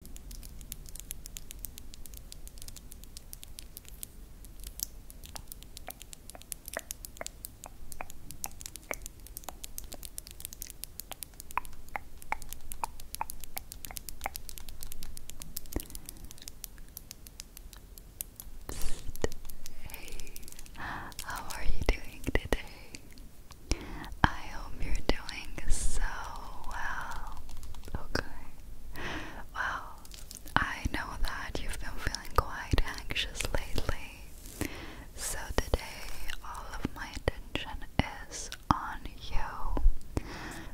Hey, how are you doing today? I hope you're doing so well. Okay. Well, I know that you've been feeling quite anxious lately. So today, all of my attention is on you.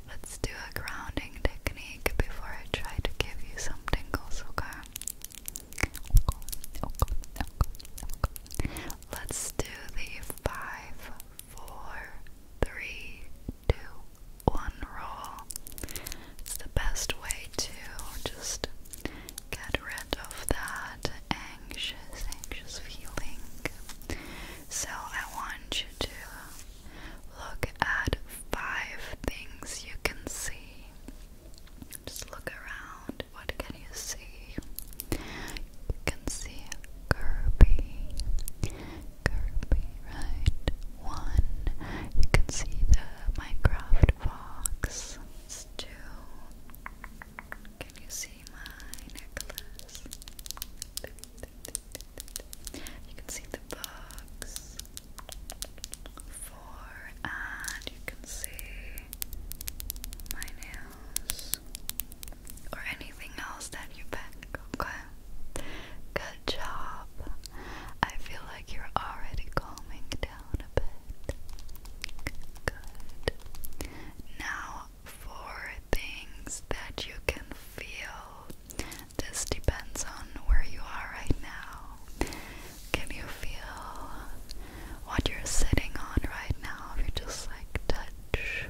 Let's do a grounding technique before I try to give you some tingles, okay? Let's do the five four, three, two, one roll. It's the best way to just get rid of that anxious, anxious feeling. So I want you to look at five things you can see. Just look around. What can you see? You can see Kirby, Kirby, right? One. You can see the Minecraft box. two. Can you see my necklace? You can see the books. Four, and you can see my nails or anything else that you pick, okay? Good job. I feel like you're already calming down a bit. Good. Now, for things that you can feel. This depends on where you are right now. Can you feel what you're sitting on right now? If you just like touch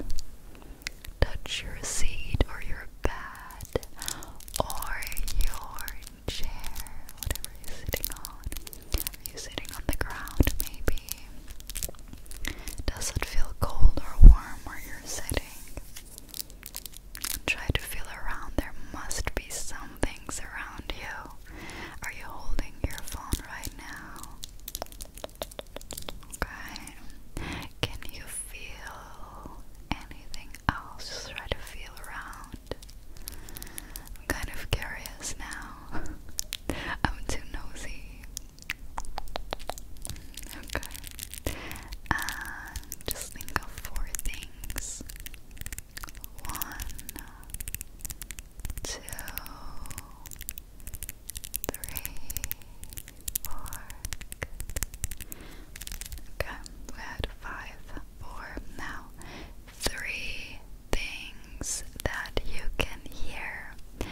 touch your seat or your bed or your chair, whatever you're sitting on. you sitting on the ground maybe? Does it feel cold or warm where you're sitting? Try to feel around. There must be some things around you. Are you holding your phone right now? Okay. Can you feel anything else? Just try to feel around. I'm kind of curious now. I'm too nosy. Okay. just think of four things. One, two, three, fork. Okay, we're five, four. Now, three things that you can hear. And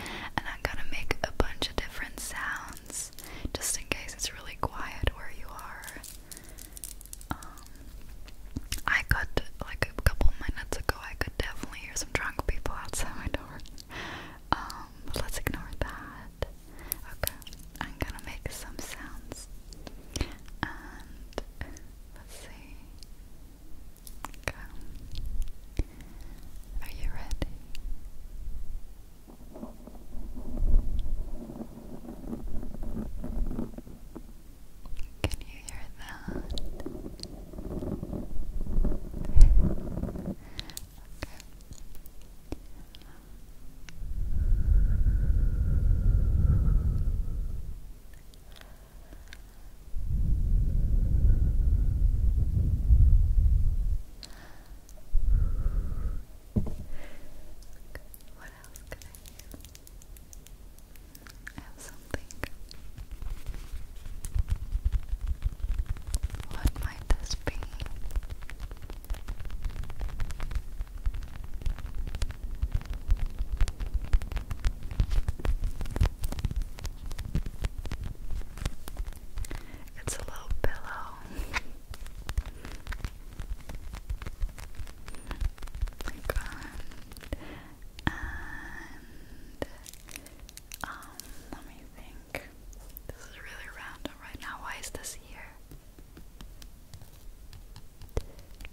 I'm gonna make a bunch of different sounds just in case it's really quiet where you are. Um, I could, like a couple minutes ago, I could definitely hear some drunk people outside my door. Um, let's ignore that. Okay, I'm gonna make some sounds. And let's see. Okay. Are you ready? Can you hear that? okay, what else could I have something. What might this be? It's a little pillow. Like, um, and um, let me think. This is really random right now. Why is this here?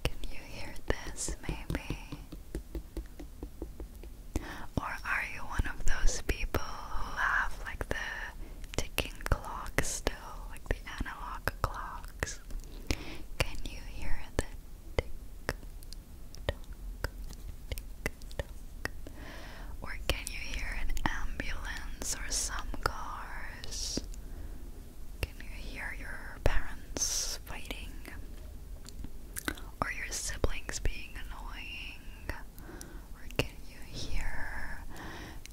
Can you hear this maybe? Or are you one of those people who have like the ticking clock still, like the analog clocks? Can you hear the tick tock, tick or can you hear an ambulance or some cars? Can you hear your parents fighting? Or your siblings being annoying? Or can you hear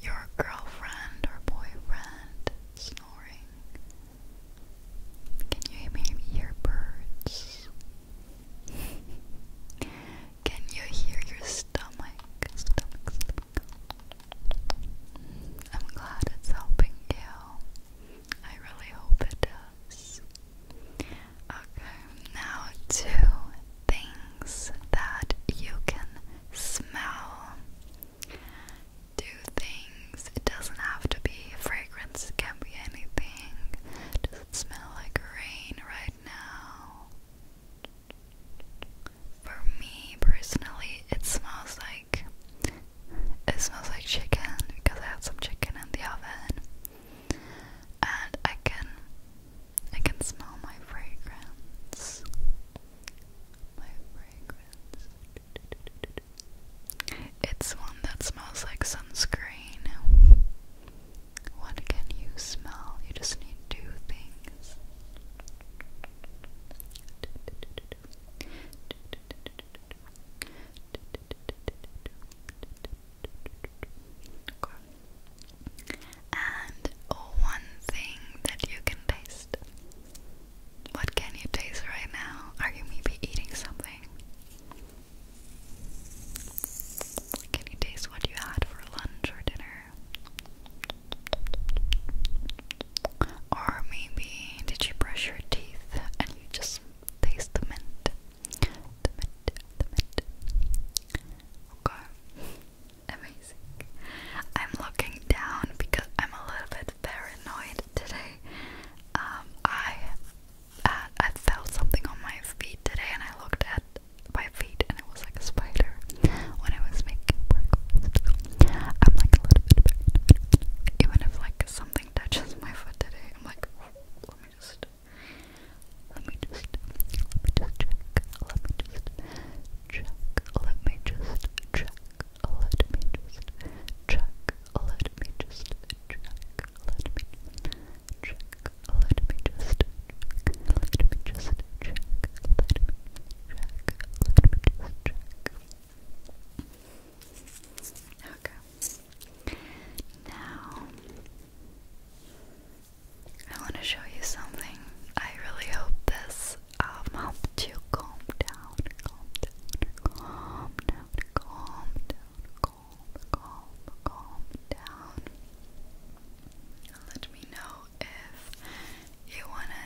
your girlfriend or boyfriend snoring? Can you maybe hear birds? Can you hear your stomach? I'm glad it's helping you. I really hope it does. Okay, now two things that you can smell. Two things. It doesn't have to be fragrance, it can be anything. Does it smell like rain right now. For me personally, it smells like it smells like chicken because I had some chicken in the oven, and I can I can smell my fragrance. My fragrance. It's one that smells like sunscreen. What can you smell? You just need two things. And one thing that you can taste. What can you taste right now? Are you maybe eating something? Can you taste what you had for lunch or dinner? Or maybe did you brush your teeth and you just taste the mint? Okay. Amazing. I'm looking down because I'm a little bit paranoid today. Um, I I felt something on my feet today, and I looked at by feet and it was like a spider when I was making breakfast. I'm like a little bit Even if like something touches my foot today, I'm like, let me just, let me just, let me just check, let me just check, let me just check, let me just check, let me just check, let me check, let me just let me just let me check, let me just Okay. Now, I want to show you something. I really hope this helps you calm down, calm down, calm down, calm, calm down. Let me know if you wanna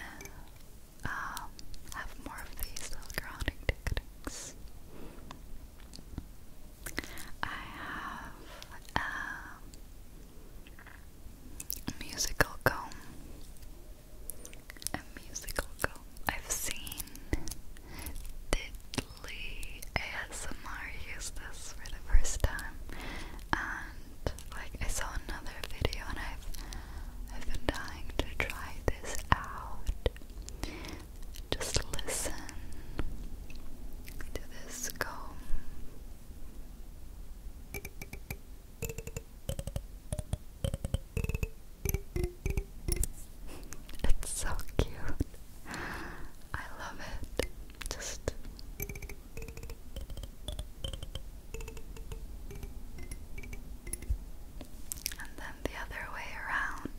um, have more of these little grounding techniques. I have a musical comb. A musical comb. I've seen the fully ASMR used this for the first time and like I saw another video and I've I've been dying to try this out. Just listen to this comb. It's so cute. I love it. Just and then the other way around.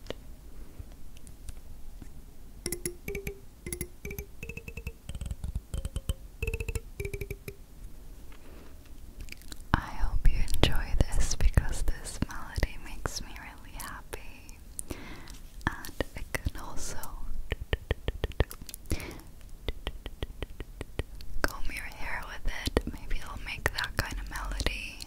I hope you enjoy this because this melody makes me really happy and I can also comb your hair with it. Maybe it'll make that kind of melody.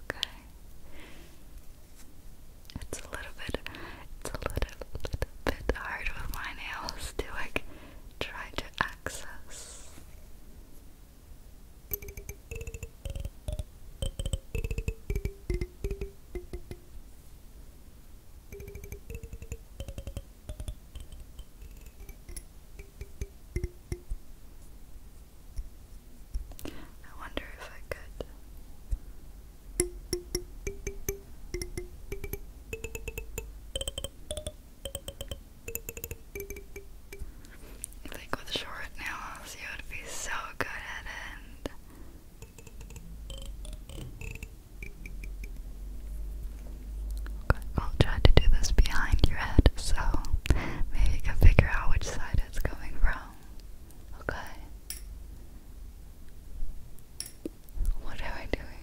Okay. It's a little bit it's a little, bit hard with my nails to like try to access. I wonder if I could. I with short nails you would be so good at it. Okay, I'll try to do this behind your head so maybe you can figure out which side it's coming from. Okay. What am I doing?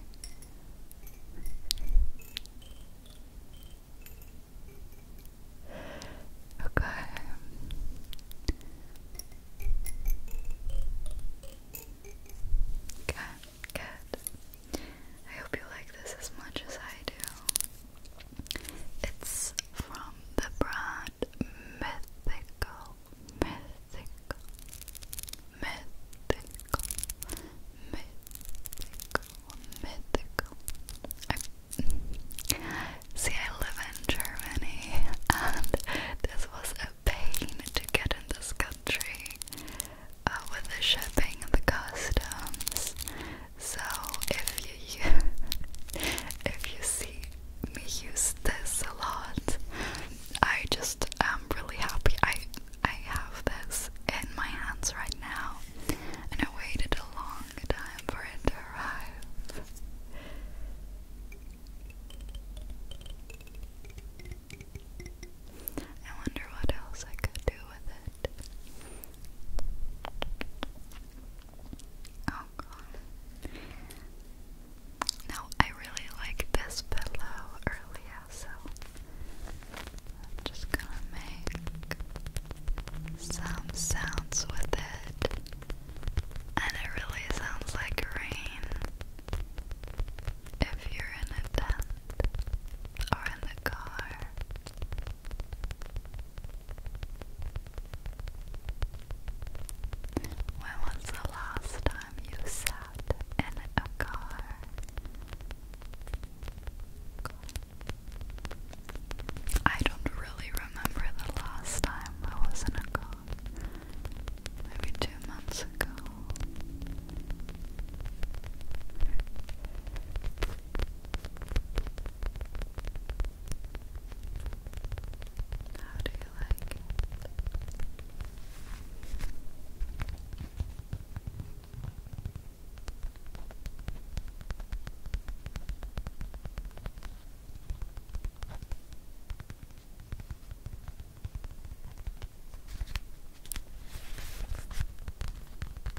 Okay. Okay. Good. I hope you like this as much as I do. It's from the brand Mythical, Mythical, Mythical, Mythical, Mythical. See, I live in Germany, and this was a pain to get in this country. Uh, with the shipping and the customs. So if you if you see me use this a lot, I just am really happy. I I have this in my hands right now, and I waited a long time for it to arrive. I wonder what else I could do with it. Oh god. No, I really like this pillow earlier, so I'm just gonna make some sounds with it. And it really sounds like rain if you're in a tent or in the car. When was the last time you sat in a car? I don't really remember the last time I was in a car. Maybe two months ago. How do you like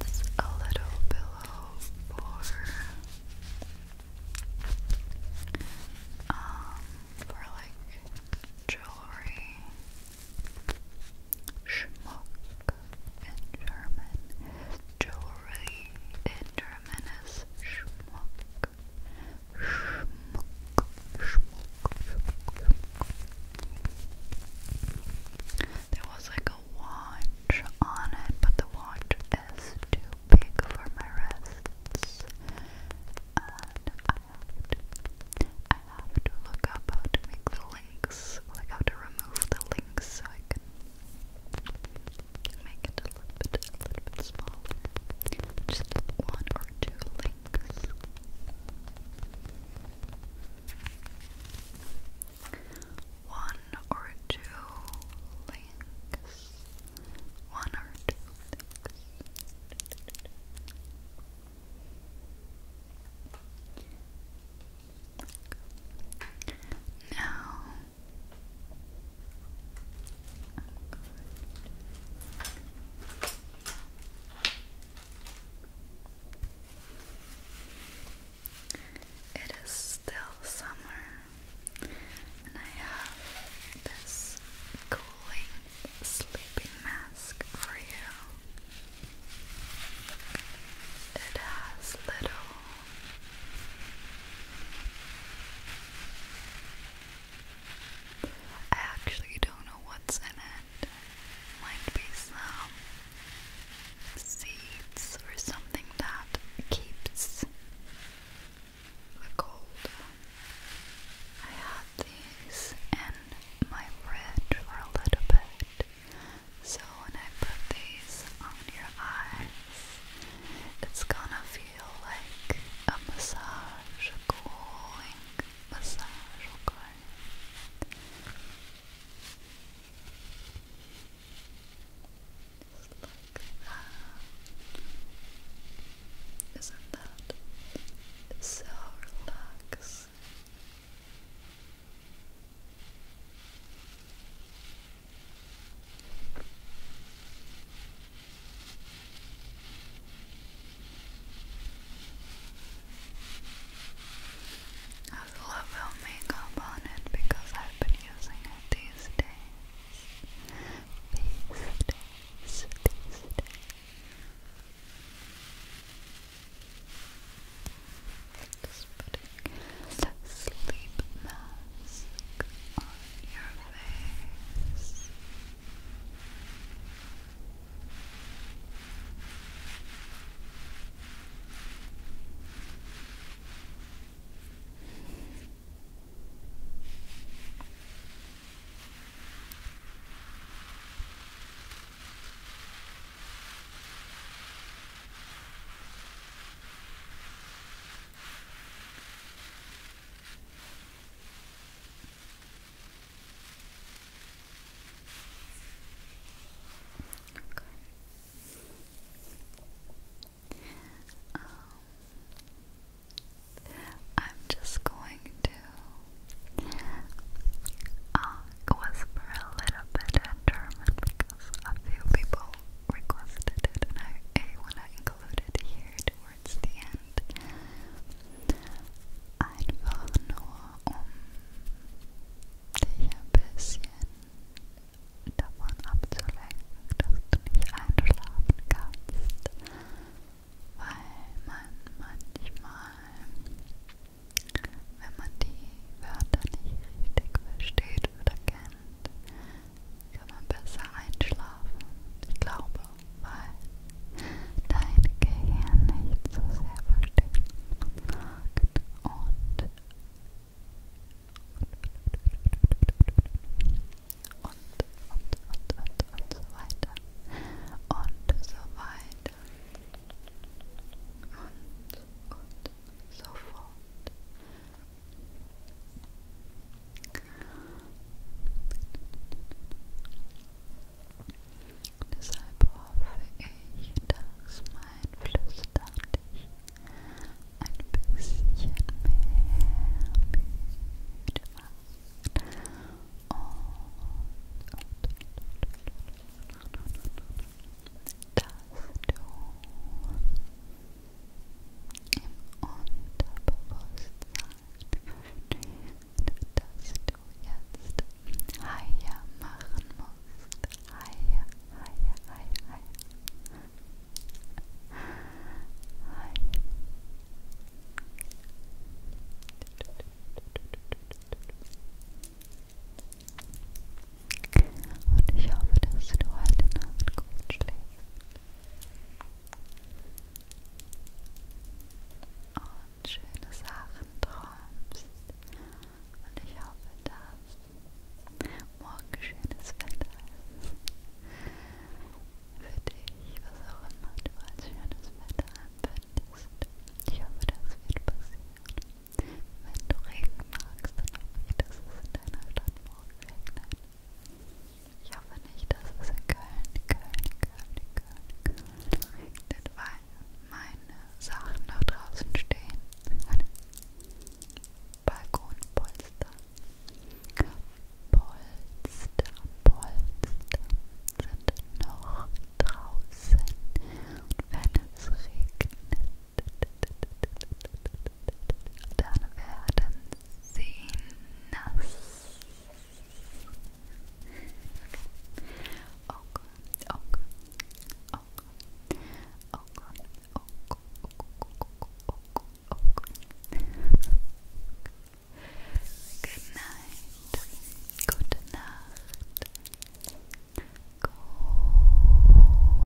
It's a little below for um for like jewelry and German. Jewelry in German is Schmuck. Schmuck. Schmuck. Schmuck. There was like a watch on it, but the watch is too big for my wrists. And I have to look up how to make the links, like how to remove the links so I can Make it a little bit, a little bit smaller. Just one or two links. One or two links. One or two links. Now it is still summer, and I have this cooling sleeping mask for you. It has little I actually don't know what's in it. Might be some seeds or something that keeps the cold. I had these in my fridge for a little bit. So when I put these on your eyes, it's gonna feel like a massage, a cooling massage, okay? like that. Isn't that so relaxing? I love how makeup on it because I've been using it these days. These days, these days. Just putting sleep mask on your face. Um, I'm just going to uh, whisper a little bit in German because because a few people requested it and I want to include it here towards the end. Einfach nur, um dich ein bisschen davon abzulenken, dass du nicht einschlafen kannst, weil man manchmal, wenn man die Wörter nicht richtig versteht oder kennt, kann man besser einschlafen. Ich glaube, weil dein Gehirn nicht so sehr versteht und und, und, und, und, und so weiter. Und so weiter. Und, und, so fort. Deshalb hoffe ich, dass mein Flüstern dich ein bisschen mehr müde macht. Und, und, und, und, und dass du im Unterbewusstsein versteht, dass du jetzt Haie machen musst. Haie, Haie, Haie, Haie. Und ich hoffe, dass du heute Nacht gut schläfst und schöne Sachen träumst. Und ich hoffe, dass morgen schönes Wetter ist. Für dich, was auch immer du als schönes Wetter empfindest. Ich hoffe, das wird passieren. Wenn du Regen magst, dann hoffe ich, dass es in deiner Stadt morgen regnet. Ich hoffe nicht, dass es in Köln, Köln, Köln, Köln, Köln regnet, weil meine Sachen da draußen stehen. Meine Balkonpolster. Polster, Polster sind noch draußen. Und wenn es regnet, Dann werden sie nass. Okay, okay, okay, okay, okay, okay, okay. Good night. Gute Nacht. Go